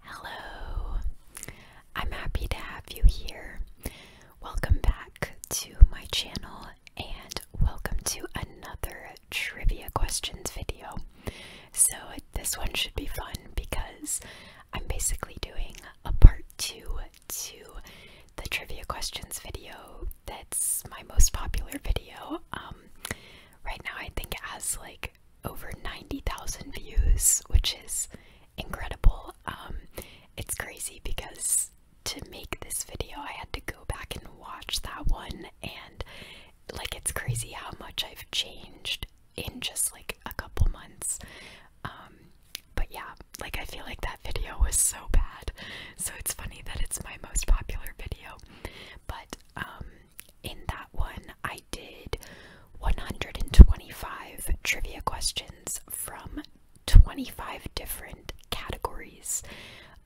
Hello, I'm happy to have you here. Welcome back to my channel and welcome to another trivia questions video. So, this one should be fun because I'm basically doing a part two to the trivia questions video that's my most popular video. Um, right now, I think it has like over 90,000 views, which is incredible. Um, it's crazy because to make this video, I had to go back and watch that one, and like it's crazy how much I've changed in just like a couple months. Um, but yeah, like I feel like that video was so bad, so it's funny that it's my most popular video. But um, in that one, I did 125 trivia questions from 25 different categories.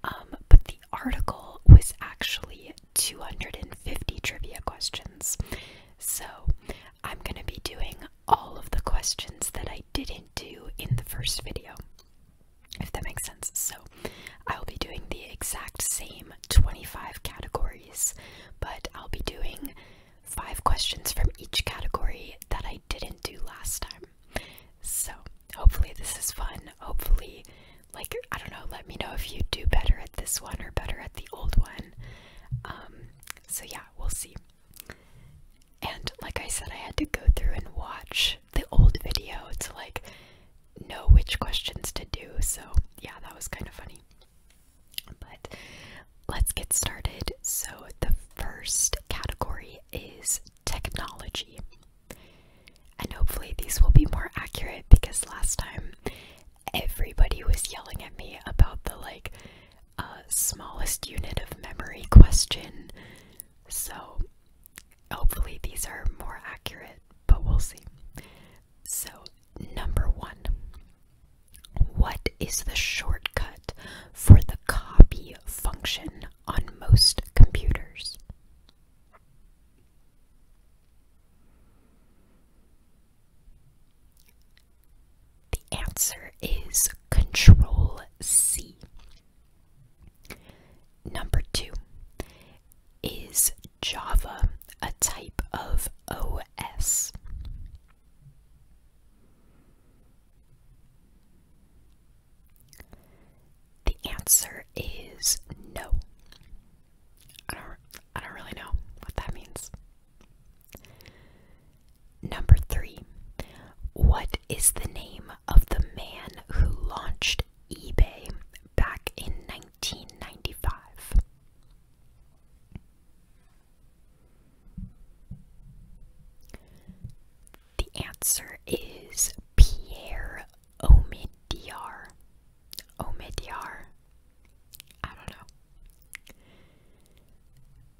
Um, but the article was actually 250 trivia questions. So I'm going to be doing all of the questions that I didn't do in the first video, if that makes sense. So I'll be doing the exact same 25 categories but I'll be doing five questions from each category that I didn't do last time. So, hopefully, this is fun. Hopefully, like, I don't know, let me know if you do better at this one or better at the old one. Um, so, yeah, we'll see. And, like I said, I had to go through and watch the old video to, like, know which questions to do. So, yeah, that was kind of funny. But let's get started. So, the first category is technology. And hopefully, these will be more accurate because last time everybody was yelling at me about the like uh, smallest unit of memory question. So, hopefully, these are more accurate, but we'll see. So, Number one, what is the shortcut for the copy function on most computers? The answer is Control C. Number two, is Java, a type of OS. The answer is no. I don't I don't really know what that means. Number 3. What is the name of the man who launched eBay back in 1995? The answer is Pierre Omidyar. Omidyar. I don't know.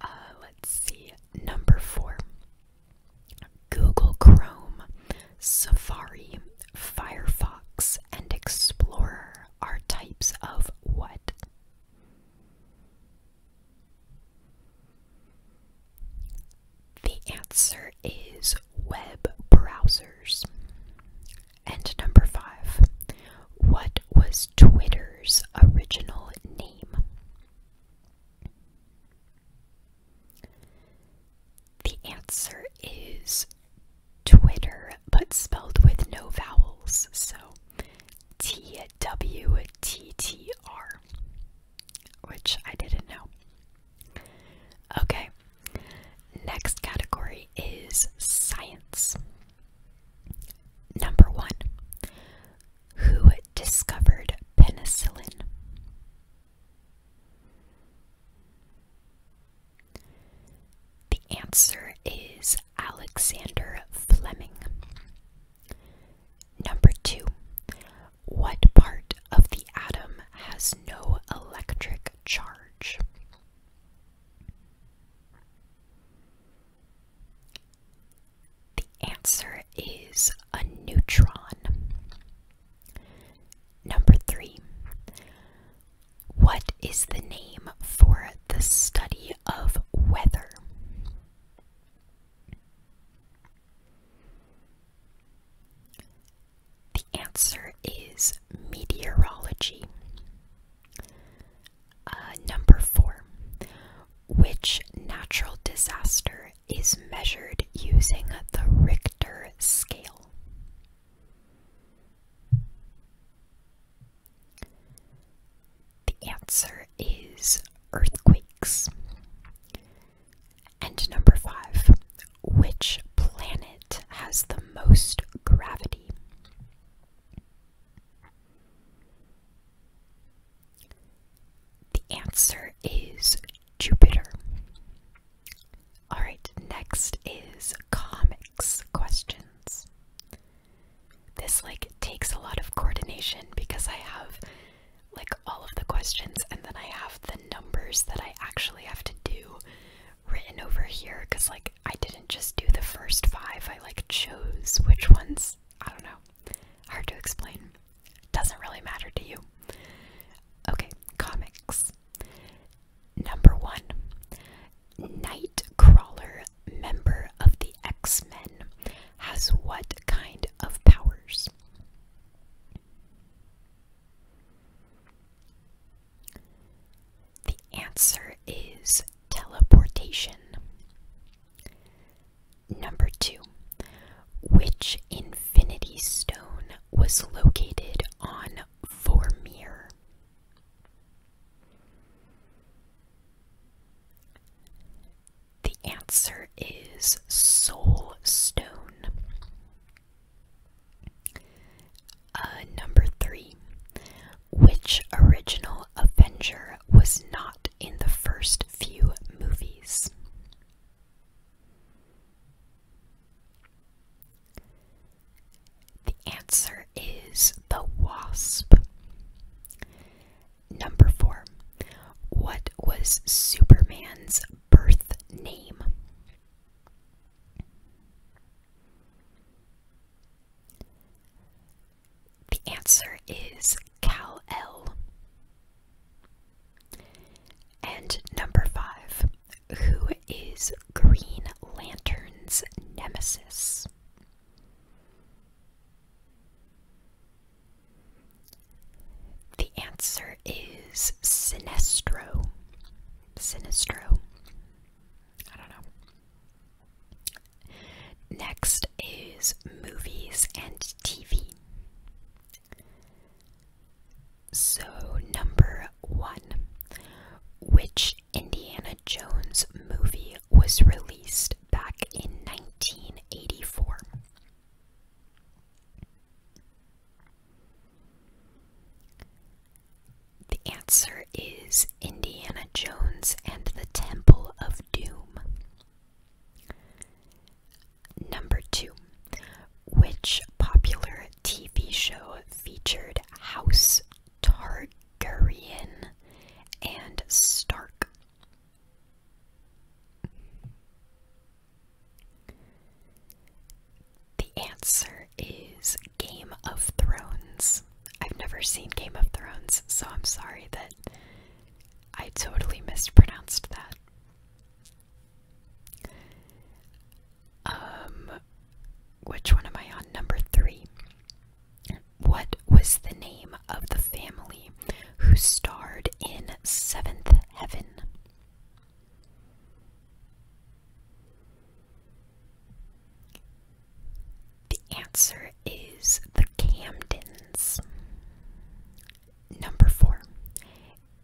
Uh, let's see. Number four Google Chrome, Safari, Firefox, and Explorer are types of what? The answer is web browsers. And number five, what was Twitter's original name? The answer is Twitter, but spelled with no vowels. So T W T T R, which I didn't know. Okay, next category is science. Number one, who discovered penicillin? The answer is Alexander Fleming. Number two, what part of the atom has no electric charge? The answer is a neutron. Number three, what is the name for the study of weather? The answer is meteorology. Uh, number four. Which natural disaster is measured using the Richter scale? The answer is earthquakes. And number five, which planet has the most gravity? The answer is Jupiter. All right, next is comics questions. This like takes a lot of coordination because I have like all of the questions and then I have the numbers that I actually have to do written over here cuz like I didn't just do the first 5. I like chose which ones. I don't know. Hard to explain. Doesn't really matter to you. Okay, comics. Number one, Nightcrawler, member of the X Men, has what kind of powers? The answer is teleportation. Number two, which Infinity Stone was located on Vormir? The answer is soul stone. Uh, number three. Which original Avenger was not in the first few movies? The answer is the wasp. Number four. What was Superman's birth name? The answer is Cal El. And number five. Who is Green Lantern's nemesis? The answer is Sinestro. Sinestro. I don't know. Next is movies and TV. So, number one Which Indiana Jones movie was released back in 1984? The answer is Indiana Jones and the Temple of Doom. Number two. Which popular TV show featured House Targaryen and Stark. The answer is Game of Thrones. I've never seen Game of Thrones, so I'm sorry that I totally mispronounced that. Um, which one am I on? Number three. What was the name of the family who starred in Seventh Heaven? The answer is the Camdens. Number four.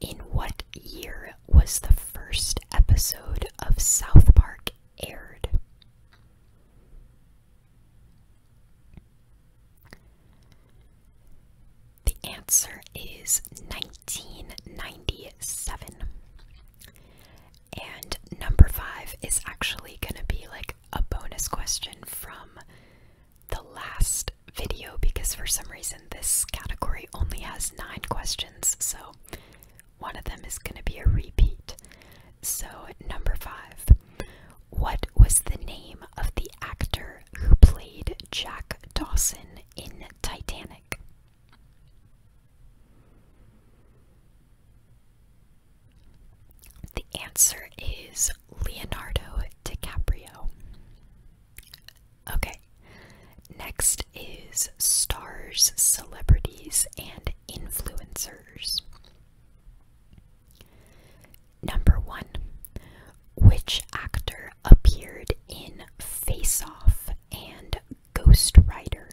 In what year was the first episode of South Park aired? The answer is 1997. And number five is actually going to be like a bonus question from the last video because for some reason this category only has nine questions. So one of them is going to be a repeat. So, number five. What was the name of the actor who played Jack Dawson in Titanic? The answer is Leonardo DiCaprio. Okay, next is stars, celebrities, and influencers. Number one, which actor appeared in Face Off and Ghost Rider?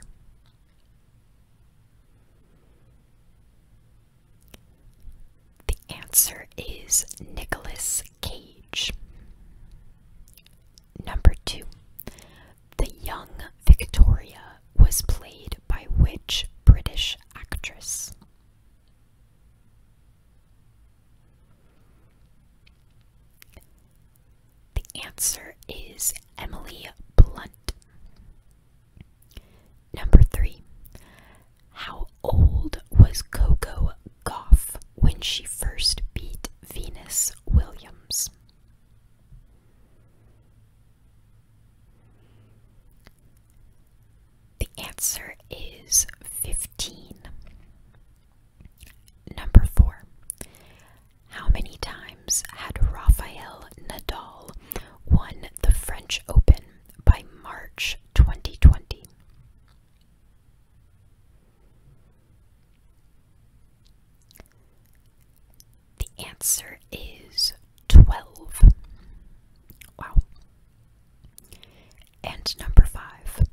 The answer is Nicolas Cage. Number two, the young Victoria was played by which British actress? The answer is Emily Blunt. Number three. How old was Coco Goff when she first beat Venus Williams? The answer is 15. Number 4. How many times had Rafael Nadal won the French Open by March 2020? The answer is 12. Wow. And number 5.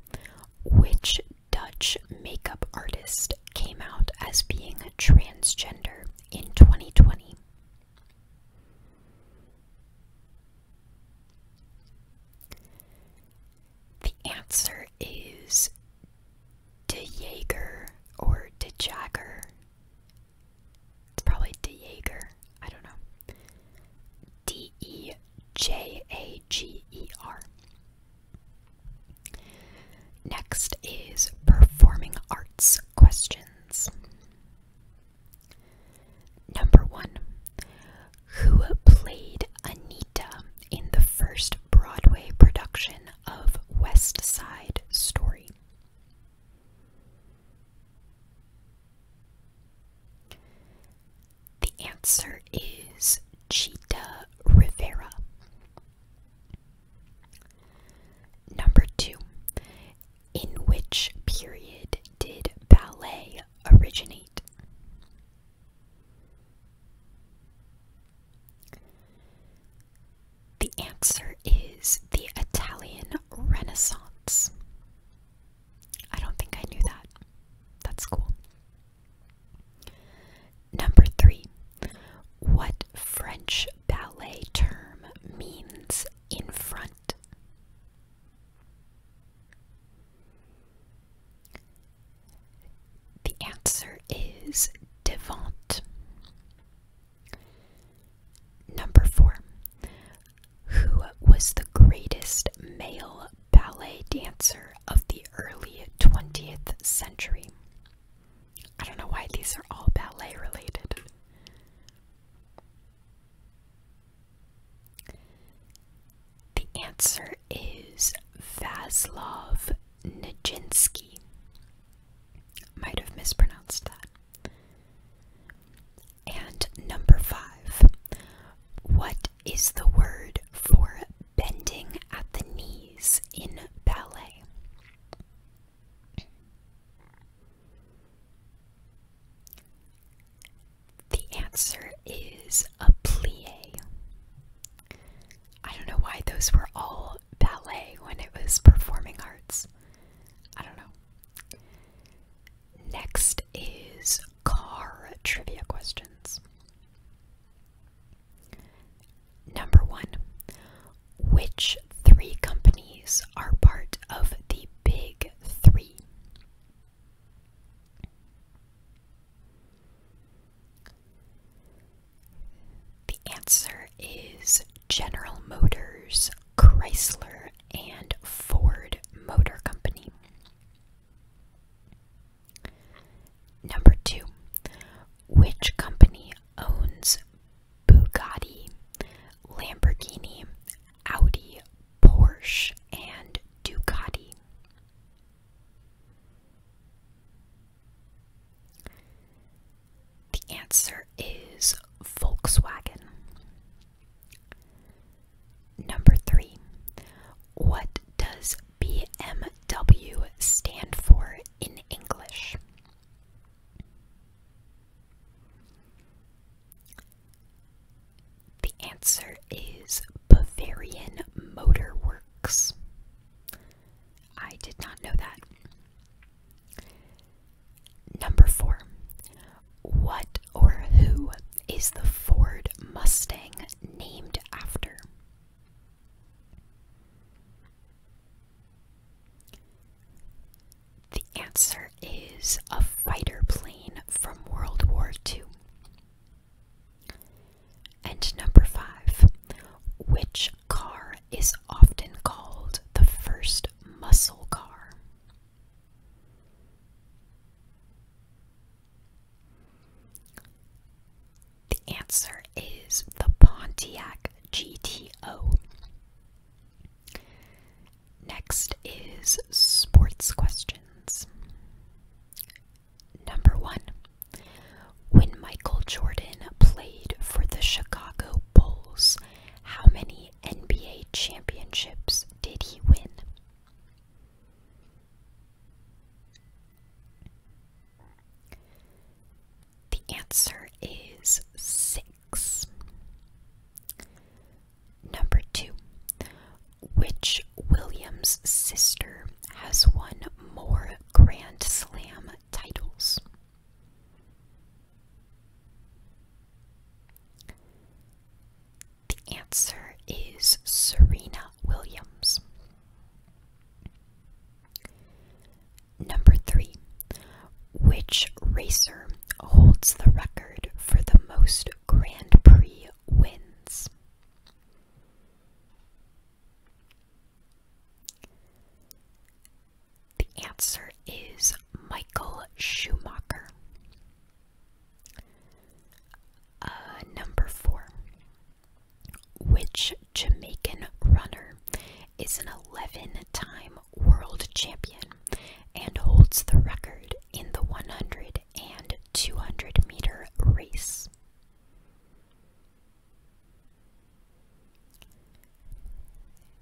Which Dutch makeup artist came out as being transgender in 2020? The answer is De Jaeger or De Jagger. It's probably De Jaeger. I don't know. D E J A G E R. Next is performing arts questions. Number one Who played Anita in the first Broadway production of West Side Story. The answer is Cheetah Rivera. Number two, in which period did ballet originate? The answer is the Italian Renaissance. I don't think I knew that. That's cool. Number three, what French ballet term means in front? The answer is Devant. Number four. Who was the greatest male ballet dancer of the early 20th century? I don't know why these are all ballet related. The answer is Vaslov Nijinsky. Might have mispronounced that. And number five, what is the word for bending at the knees in ballet? The answer is a plie. I don't know why those were all ballet when it was performing arts. I don't know. Next is car trivia questions. Number one Which three companies are part of the Big Three? The answer is General Motors, Chrysler, and Ford Motor Company. Number two, which company owns Bugatti, Lamborghini, Audi, Porsche, and Ducati? The answer is Volkswagen. Number three, what does BMW stand for in English? The answer is Bavarian Motor Works. I did not know that. Number four. What or who is the Ford Mustang named after? The answer is a fighter plane from World War II. And number five, which car is often called the first muscle car? The answer is the Pontiac GTO. Next is sports questions. Number one, when Michael Jordan played for the Chicago Bulls, how many NBA championships did he win? The answer is six. Number two, which Williams sister has won more Grand Slam titles? The answer is Serena Williams. Number three, which racer holds the record for the most Grand Prix wins? The answer is Michael Schumacher. Uh, number four. Which Jamaican runner is an 11 time world champion and holds the record in the 100 and 200 meter race?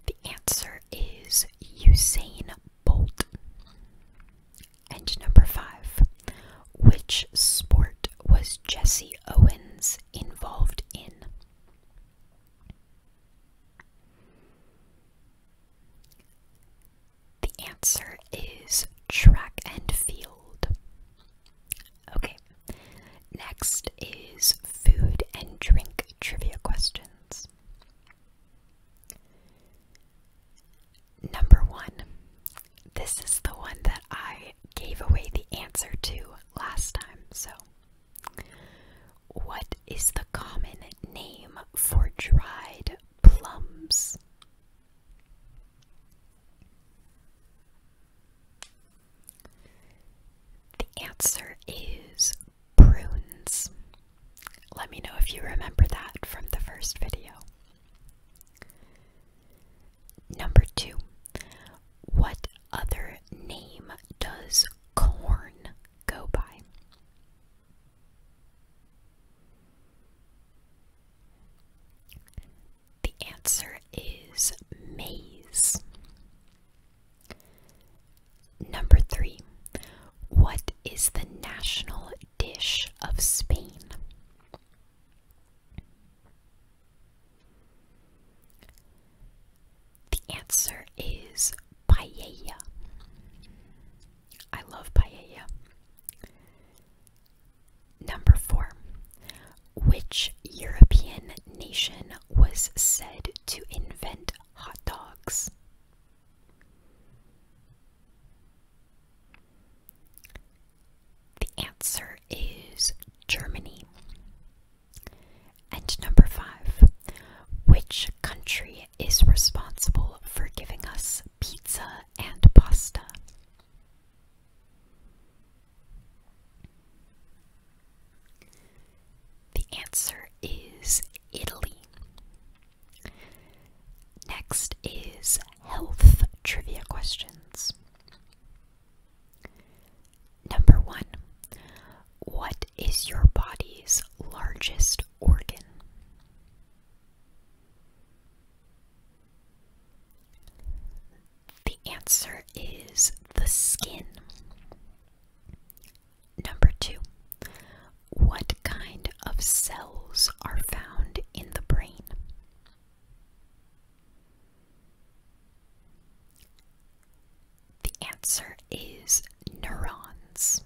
The answer is Usain Bolt. And number five, which sport was Jesse Owens involved in? The answer is track and field. Okay, next is food and drink trivia questions. Number one. This is the one that I gave away the answer to last time. So, what is the common name for dried plums? The answer is prunes. Let me know if you remember that from the first video. Number two, what other name does corn go by? The answer is maze. Number three. What is the national dish of Spain? The answer is paella. I love paella. Number four. Which European nation was said to invent hot dogs? The answer is Germany. And number five. Which country is responsible for giving us pizza and pasta? The answer is Italy. Next is health trivia questions. Number one What is your body's largest organ? The answer is the skin. Number two, what kind of cells are found in the brain? The answer is neurons.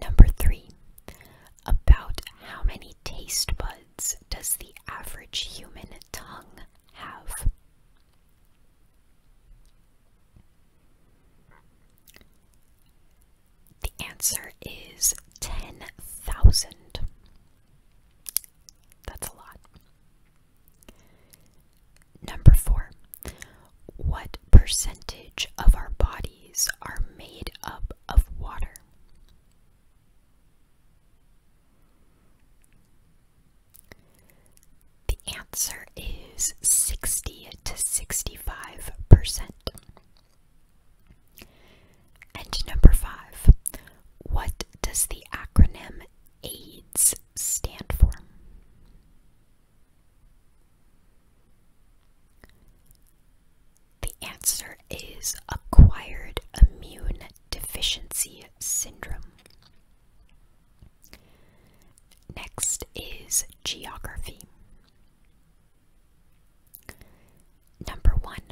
Number three, about how many taste buds does the average human tongue have? The answer is 10,000. That's a lot. Number four, what percentage of our bodies are made up of water? The answer is 60 to 65%. And number five, what does the acronym AIDS stand for? The answer is acquired immune deficiency syndrome. Next is geography. Number one,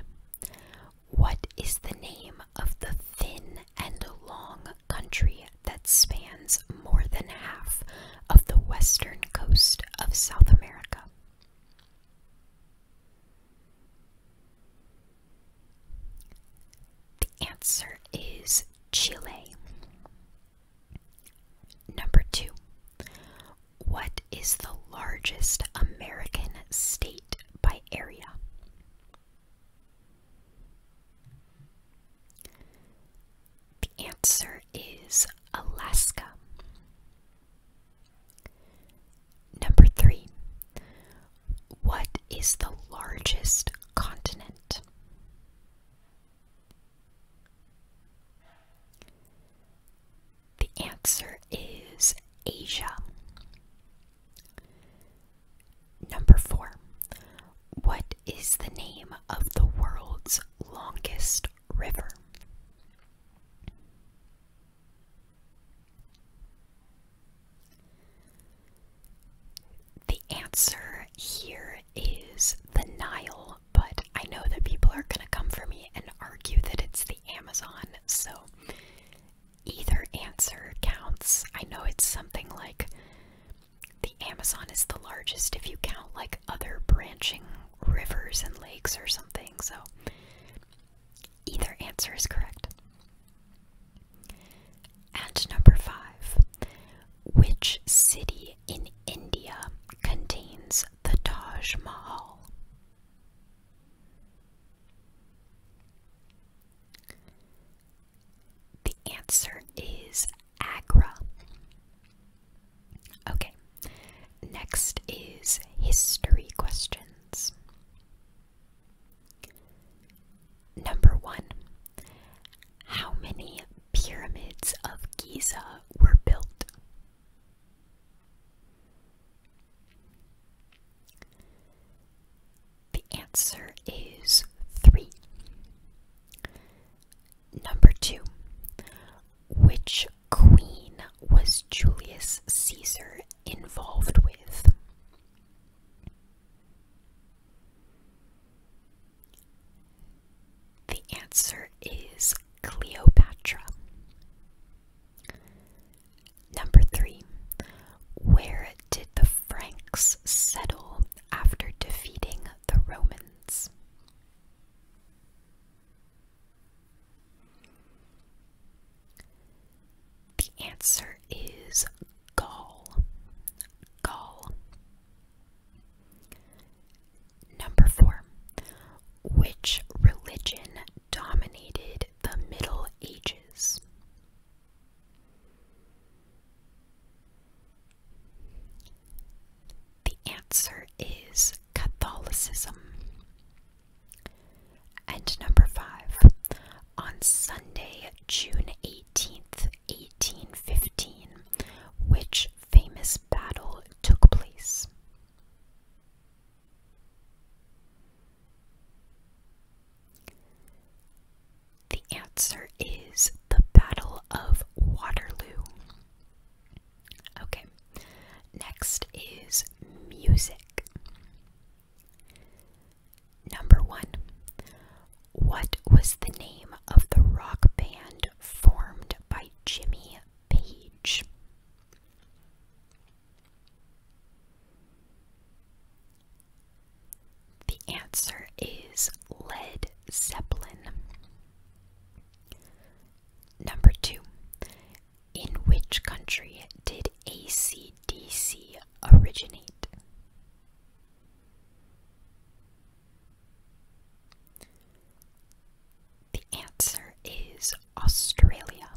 what is the name of the thin and long country that spans more than half of the western coast of South America? The answer is Chile. Number two. What is the largest American state by area? The answer is Alaska. Number three, what is the largest continent? The answer is Asia. Number four, what is the name of the world's longest river. The answer here is the Nile, but I know that people are going to come for me and argue that it's the Amazon, so either answer counts. I know it's something like the Amazon is the largest if you count like other branching rivers and lakes or something, so Either answer is correct. And number five, which city in India contains the Taj Mahal? The answer is Agra. Okay, next is history questions. Number one How many pyramids of Giza were built? The answer is three. Number two Which queen was Julius Caesar involved with? The answer is Cleopatra. Number three, where did the Franks settle after defeating the Romans? The answer is Gaul. Gaul. Number four. Which religion dominated the Middle Ages? The answer is Catholicism. And number five, on Sunday, June 18th, 1815, which famous battle took place? The answer is the Battle of Waterloo. Okay, next is music. Number one, what was the name of the rock band formed by Jimmy Page? The answer is Led Zeppelin. Number two, in which country did ACDC originate? The answer is Australia.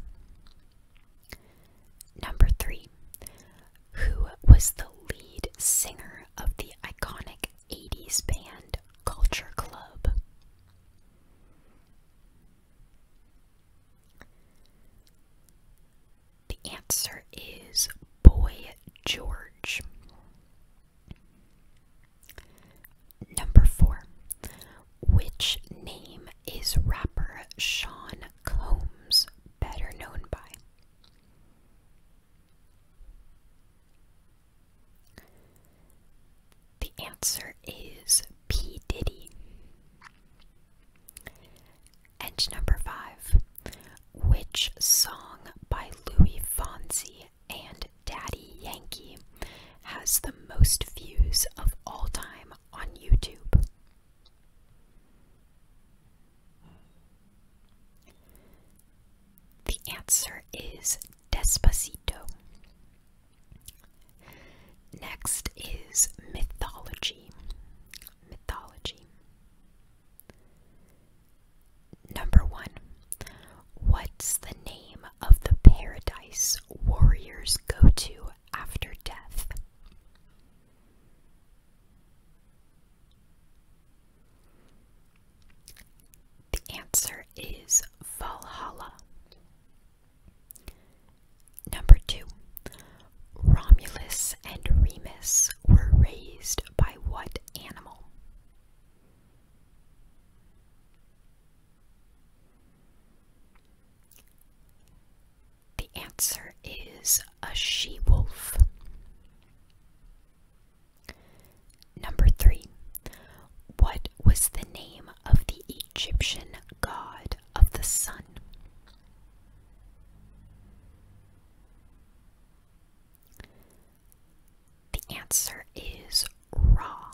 Number three, who was the lead singer of the iconic 80s band Culture Club? The answer is Boy George. Number four. Which name is rapper Sean Combs better known by? The answer is P. Diddy. And number five, which song by Louis Fonsi and Daddy Yankee has the most views of all time on YouTube? The answer is Despacito. Next is mythology. Mythology. Number one, what's the name of the paradise warriors go to after death? The answer is Valhalla. Number two, Romulus and Remus were raised by what animal? The answer is a she wolf. Number three, what was the name of the Egyptian god of the sun? The answer is Ra.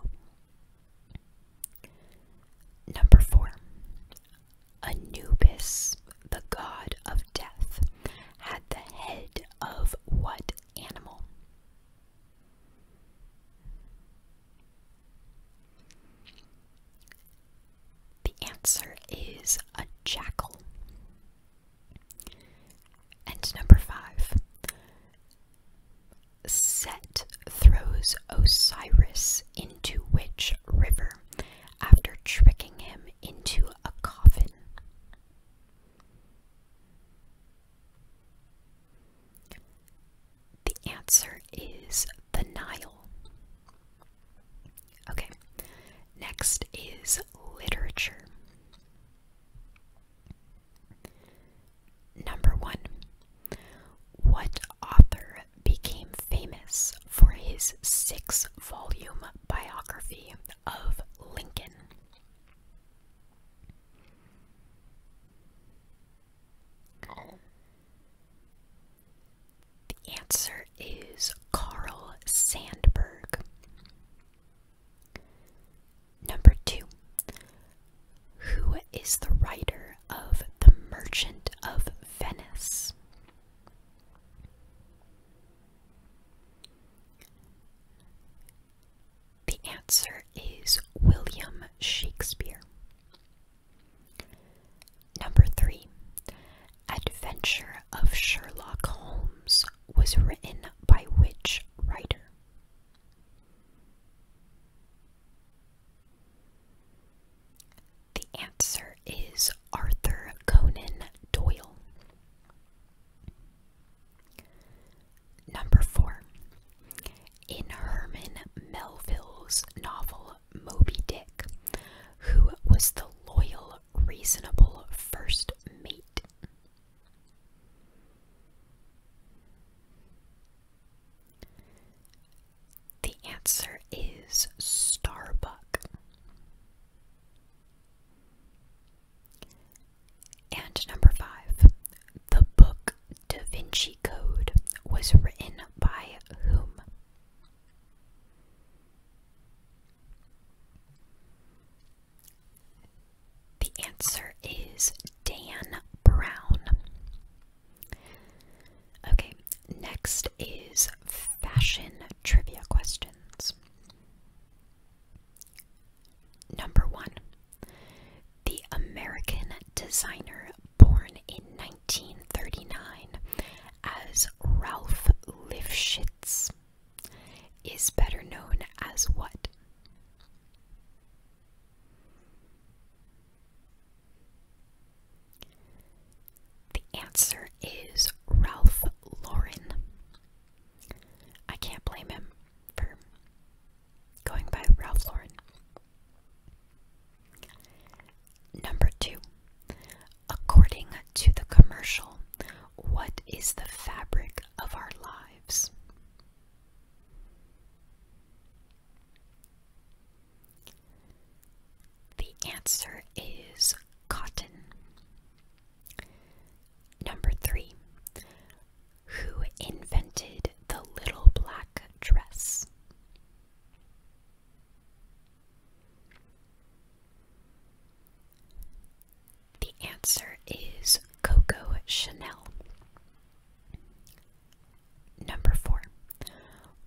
Number four, Anubis, the god of death, had the head of what animal? The answer is a jackal. And number five, Set throws Osiris into which river after tricking him into a coffin? The answer is the Nile. Okay, next is literature. Number one, what author became famous for his six volume biography of Lincoln? The answer is Carl Sandburg. Number two. Who is the writer of The Merchant of Venice? The answer is William Shakespeare. Number three, Adventure of Sherlock Holmes was written by which writer? The answer is Arthur Conan Doyle. Number four. In Herman Melville's novel Moby Dick, who was the loyal, reasonable first mate? The answer is Starbuck. And number five, the book Da Vinci Code was written by whom? The answer is Dan Brown. Okay, next is fashion trivia questions. Number one the American designer born in 1939 as Ralph Lifshitz is better known as what? The answer is Ralph Lauren. I can't blame him for going by Ralph Lauren. Number two, according to the commercial, what is the fabric of our lives? The answer is cotton. Number three, who invented the little black dress? The answer is Coco Chanel. Number four.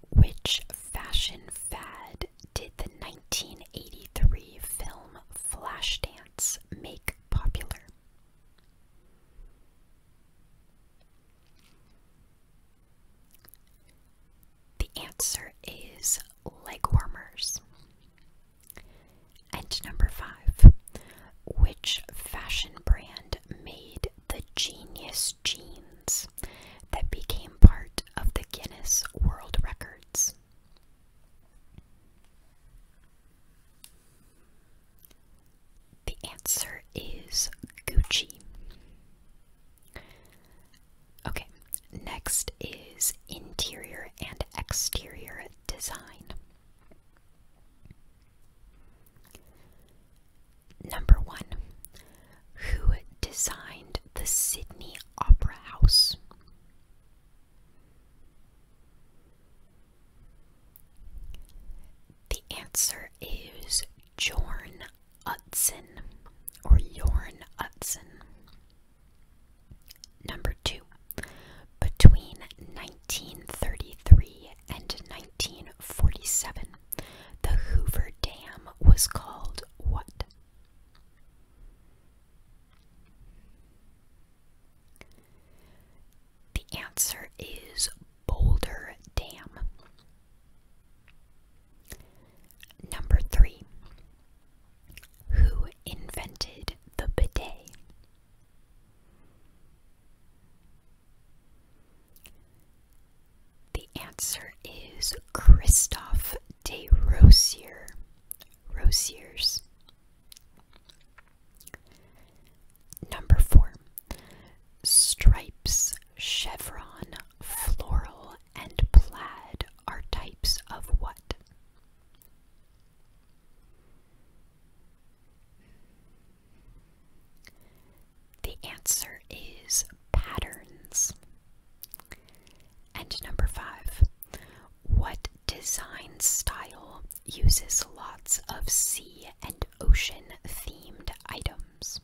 Which fashion fad did the 1983 film Flashdance make popular? The answer is leg warmers. And number five, which fashion brand made the genius jeans that became part of the Guinness World Records? The answer is Gucci. Okay, next is interior and exterior design. Number one, who designed the Sydney Opera House? The answer is Jorn Utzon or Jorn Utzon. Number two, between 1933 and 1947, the Hoover Dam was called what? The answer is Boulder Dam. Number three. Who invented the bidet? The answer is Christophe de Rosier. Rosiers. Number four stripes, chevron, floral, and plaid are types of what? The answer is patterns. And number five, what design style uses lots of sea and ocean themed items.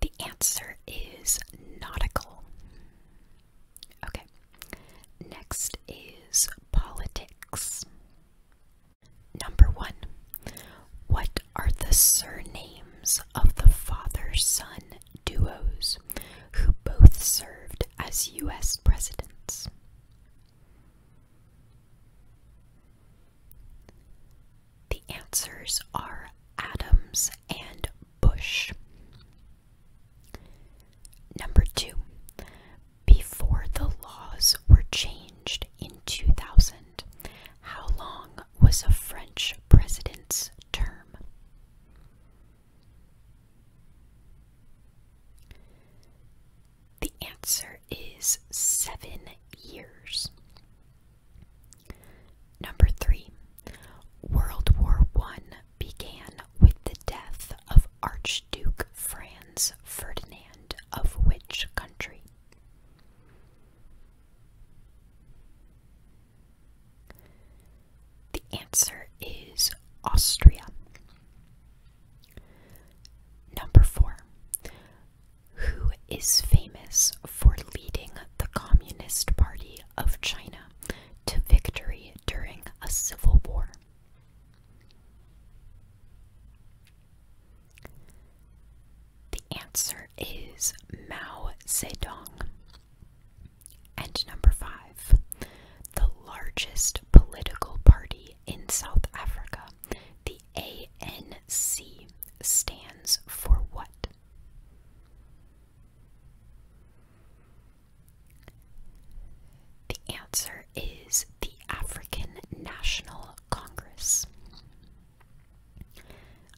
The answer is nautical. Okay, next is politics. Number one, what are the surnames of the father, son, duos who both served as U.S. presidents. The answers are Adams and Bush. Number two, before the laws were changed in 2000, how long was a French president's term? The answer is seven years. Number three, World War I began with the death of Archduke Franz Ferdinand of which country? The answer is Austria. Number four. Who is famous for leading the Communist Party of China to victory during a civil war? The answer is Mao Zedong. And number five, the largest political party in South Africa, the ANC, stands for what? The answer is the African National Congress.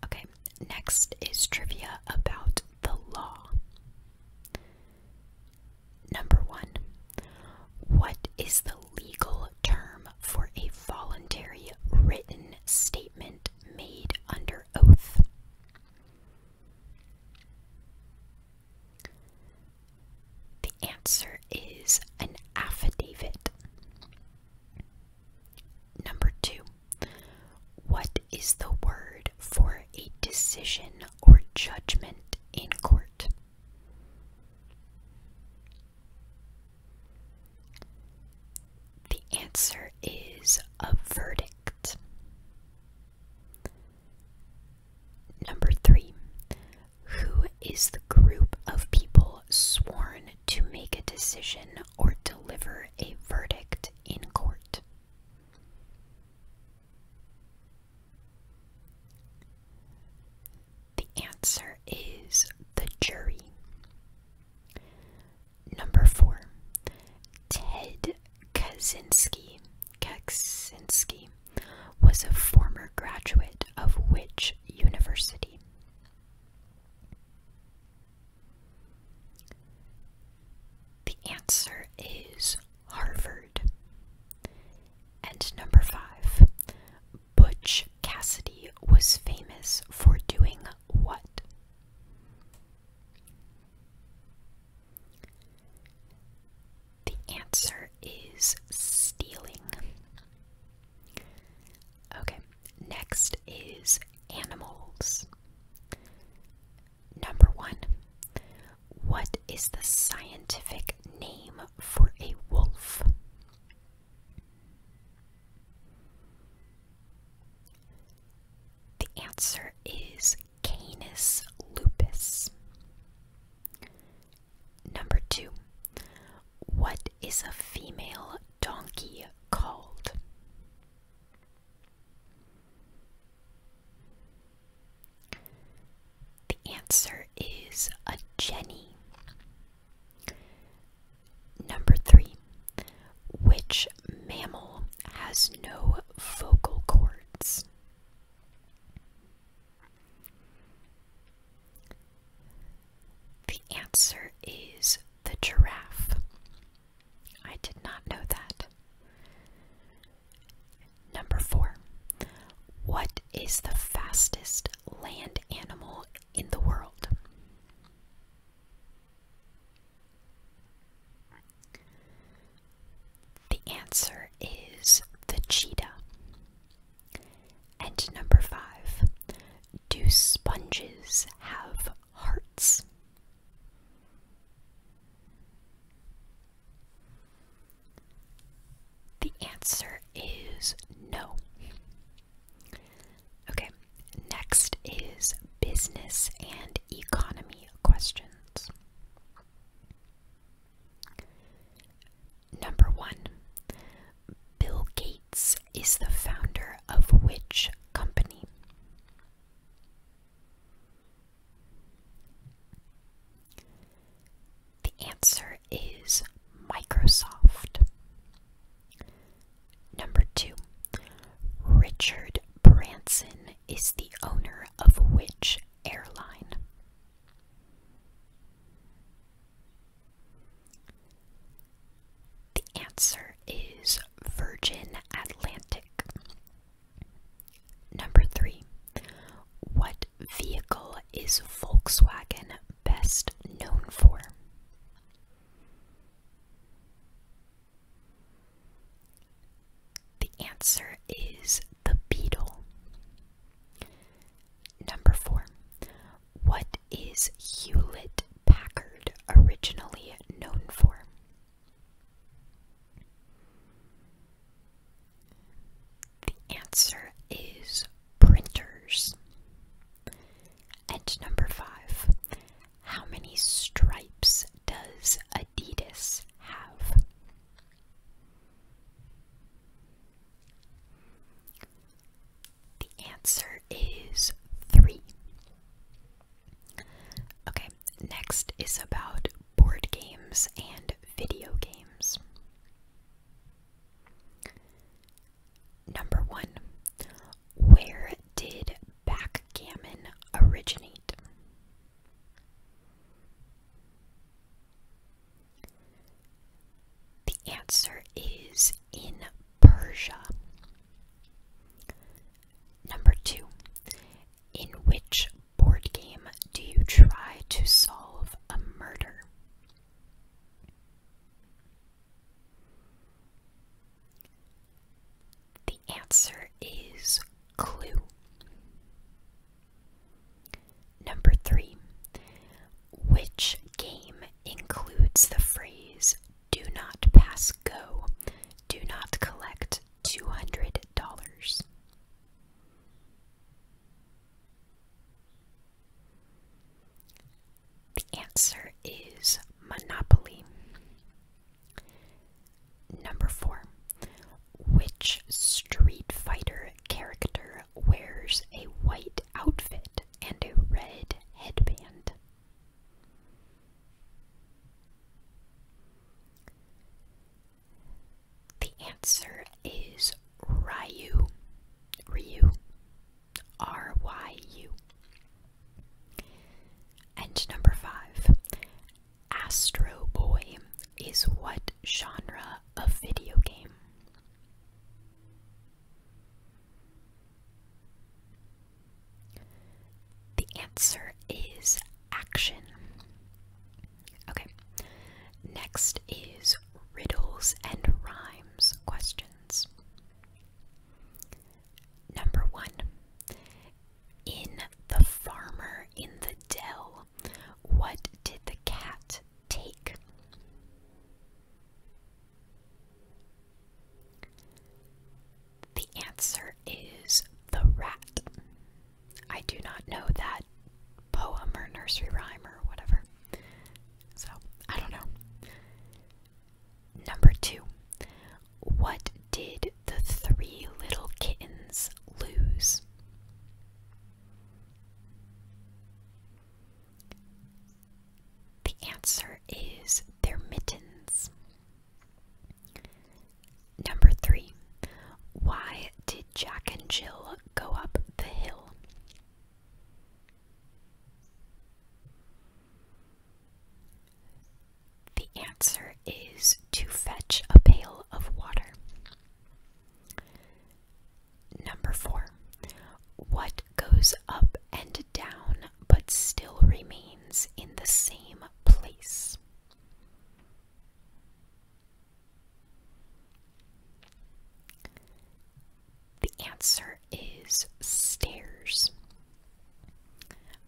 Okay, next is trivia about the law. Number one, what is the legal term for a voluntary written statement made under oath? The answer is an affidavit. Number two, what is the word for a decision or judgment in court? The answer is a verdict. Number three, who is the group of people sworn to make a decision or deliver a verdict in court? The answer is the jury. Number four, Ted Kaczynski. Kaczynski was a former graduate of which university? The answer is Harvard. And number five, Butch Cassidy was famous for doing what? The answer is stealing. Okay, next is animals. Number one, what is the scientific name for a wolf? The answer is Canis lupus. Number two, what is a female donkey called? The answer is a Jenny. Number three, which mammal has no vocal cords? The answer is the giraffe. I did not know that. Number four. What is the fastest land animal in the world? The answer is the cheetah. And number five. Do sponges have hearts. The answer is no. Okay, next is business and economy questions. Number one Bill Gates is the founder of which company? The answer is Microsoft. Number two, Richard Branson is the owner of which airline? The answer is Virgin Atlantic. Number three, what vehicle is Volkswagen best known for? The answer is the Beetle. Number four, what is Hewlett Packard originally known for? The answer is printers. And number five, how many stripes does Adidas have? The answer is three. Okay, next is about board games and video games. Number one, where did backgammon originate? The answer is in Persia. Number two, in which board game do you try to solve a murder? The answer is Clue. Number three, which game includes the phrase do not pass go. Do not collect $200. The answer is Monopoly. Number four. Which Street Fighter character wears a white outfit and a red headband? The answer is Ryu. Ryu. R Y U. And number five, Astro Boy is what genre of video game? The answer is action. Okay. Next is riddles and rhymes questions. Number 1. In The Farmer in the Dell, what did the cat take? The answer is The Rat. I do not know that poem or nursery rhyme or whatever. So, I don't know. Number two. What did the three little kittens lose? The answer is their mittens. Number three, why did Jack and Jill go up the hill? The answer is to fetch a pail of water. Number four, what goes up and down but still remains in the same place. The answer is stairs.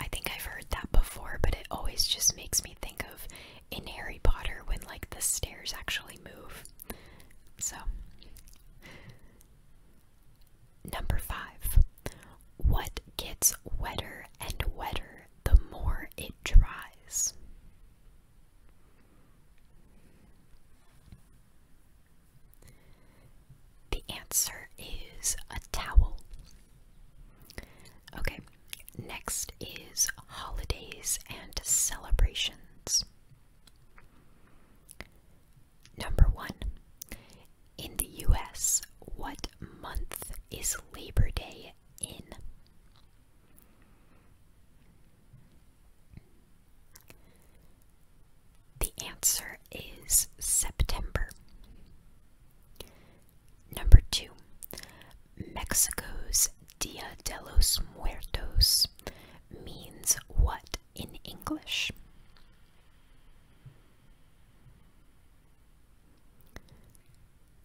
I think I've heard that before, but it always just makes me think of in Harry Potter when like the stairs actually move. So Number five, what gets wetter and wetter the more it dries? The answer is a towel. Okay, next is holidays and celebrations. Number one, in the US, what month is Labor Day in? The answer is September. Number two, Mexico's Dia de los Muertos means what in English?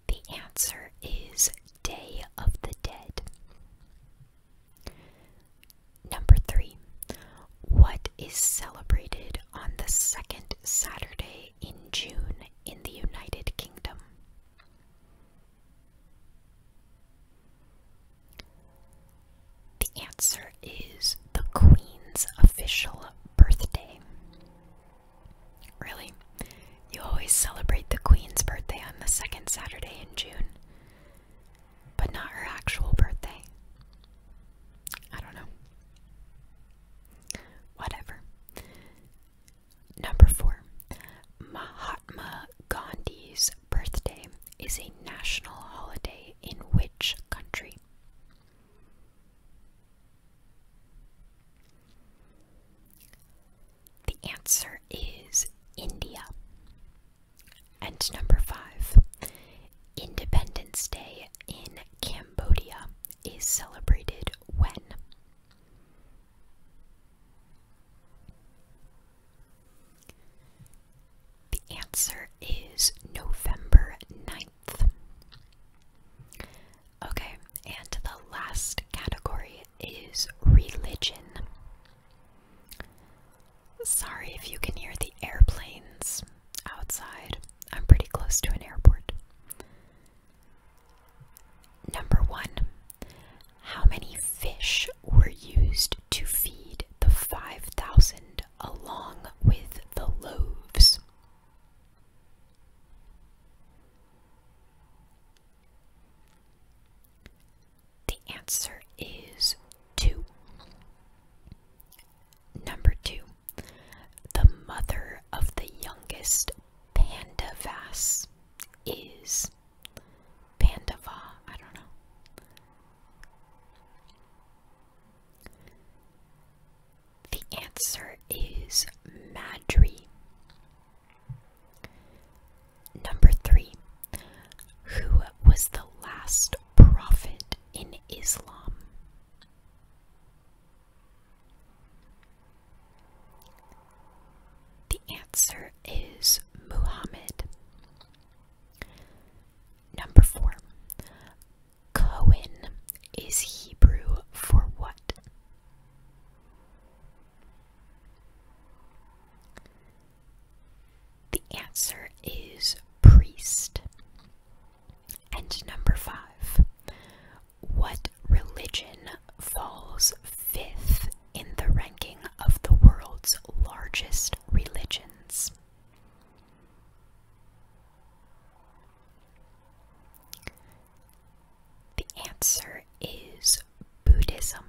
The answer is Day of the Dead. Number three. What is celebrated on the second Saturday in June in the United Kingdom? The answer is the Queen's official birthday. Really? You always celebrate the Queen's birthday on the second Saturday in June, but not her actual birthday. I don't know. Whatever. Number four, Mahatma Gandhi's birthday is a national holiday in which country? The answer is India. And number five, Independence Day in Cambodia is celebrated when? The answer is November 9 Okay, and the last category is religion. Sorry if you can hear the airplanes outside. I'm pretty close to an airport. Number one, how many fish were used to feed the 5,000 along with the loaves? The answer is 2. Number 2. The mother of the youngest Pandavas is Pandava. I don't know. The answer is Madri. Number three. Who was the last prophet in Islam? The answer is Muhammad. Number four. Cohen is Hebrew for what? The answer is priest. And number five, what religion falls fifth in the ranking of the world's largest religions? The answer is Buddhism.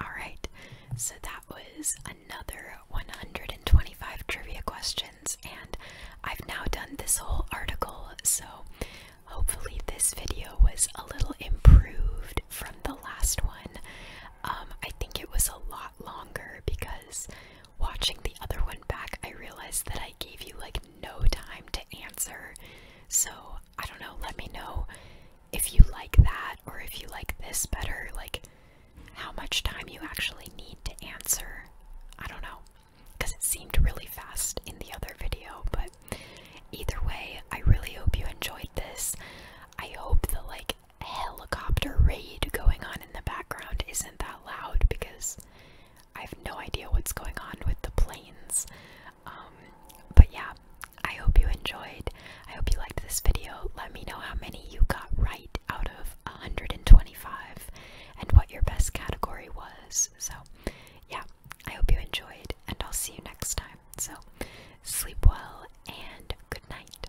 Alright, so that was another 125 trivia questions, and I've now done this whole article, so hopefully, this video was a little improved from the last one. Um, I think it was a lot longer because watching the other one back, I realized that I gave you like no time to answer. So, I don't know, let me know if you like that or if you like this better, like how much time you actually need to answer. I don't know, because it seemed really fast in the other video, but either way, I really hope you enjoyed this. I hope the like helicopter raid going on in the background isn't that loud because I have no idea what's going on with the planes. Um, but yeah, I hope you enjoyed. I hope you liked this video. Let me know how many you got right out of 125 and what your best category was. So yeah, I hope you enjoyed and I'll see you next time. So sleep well and good night.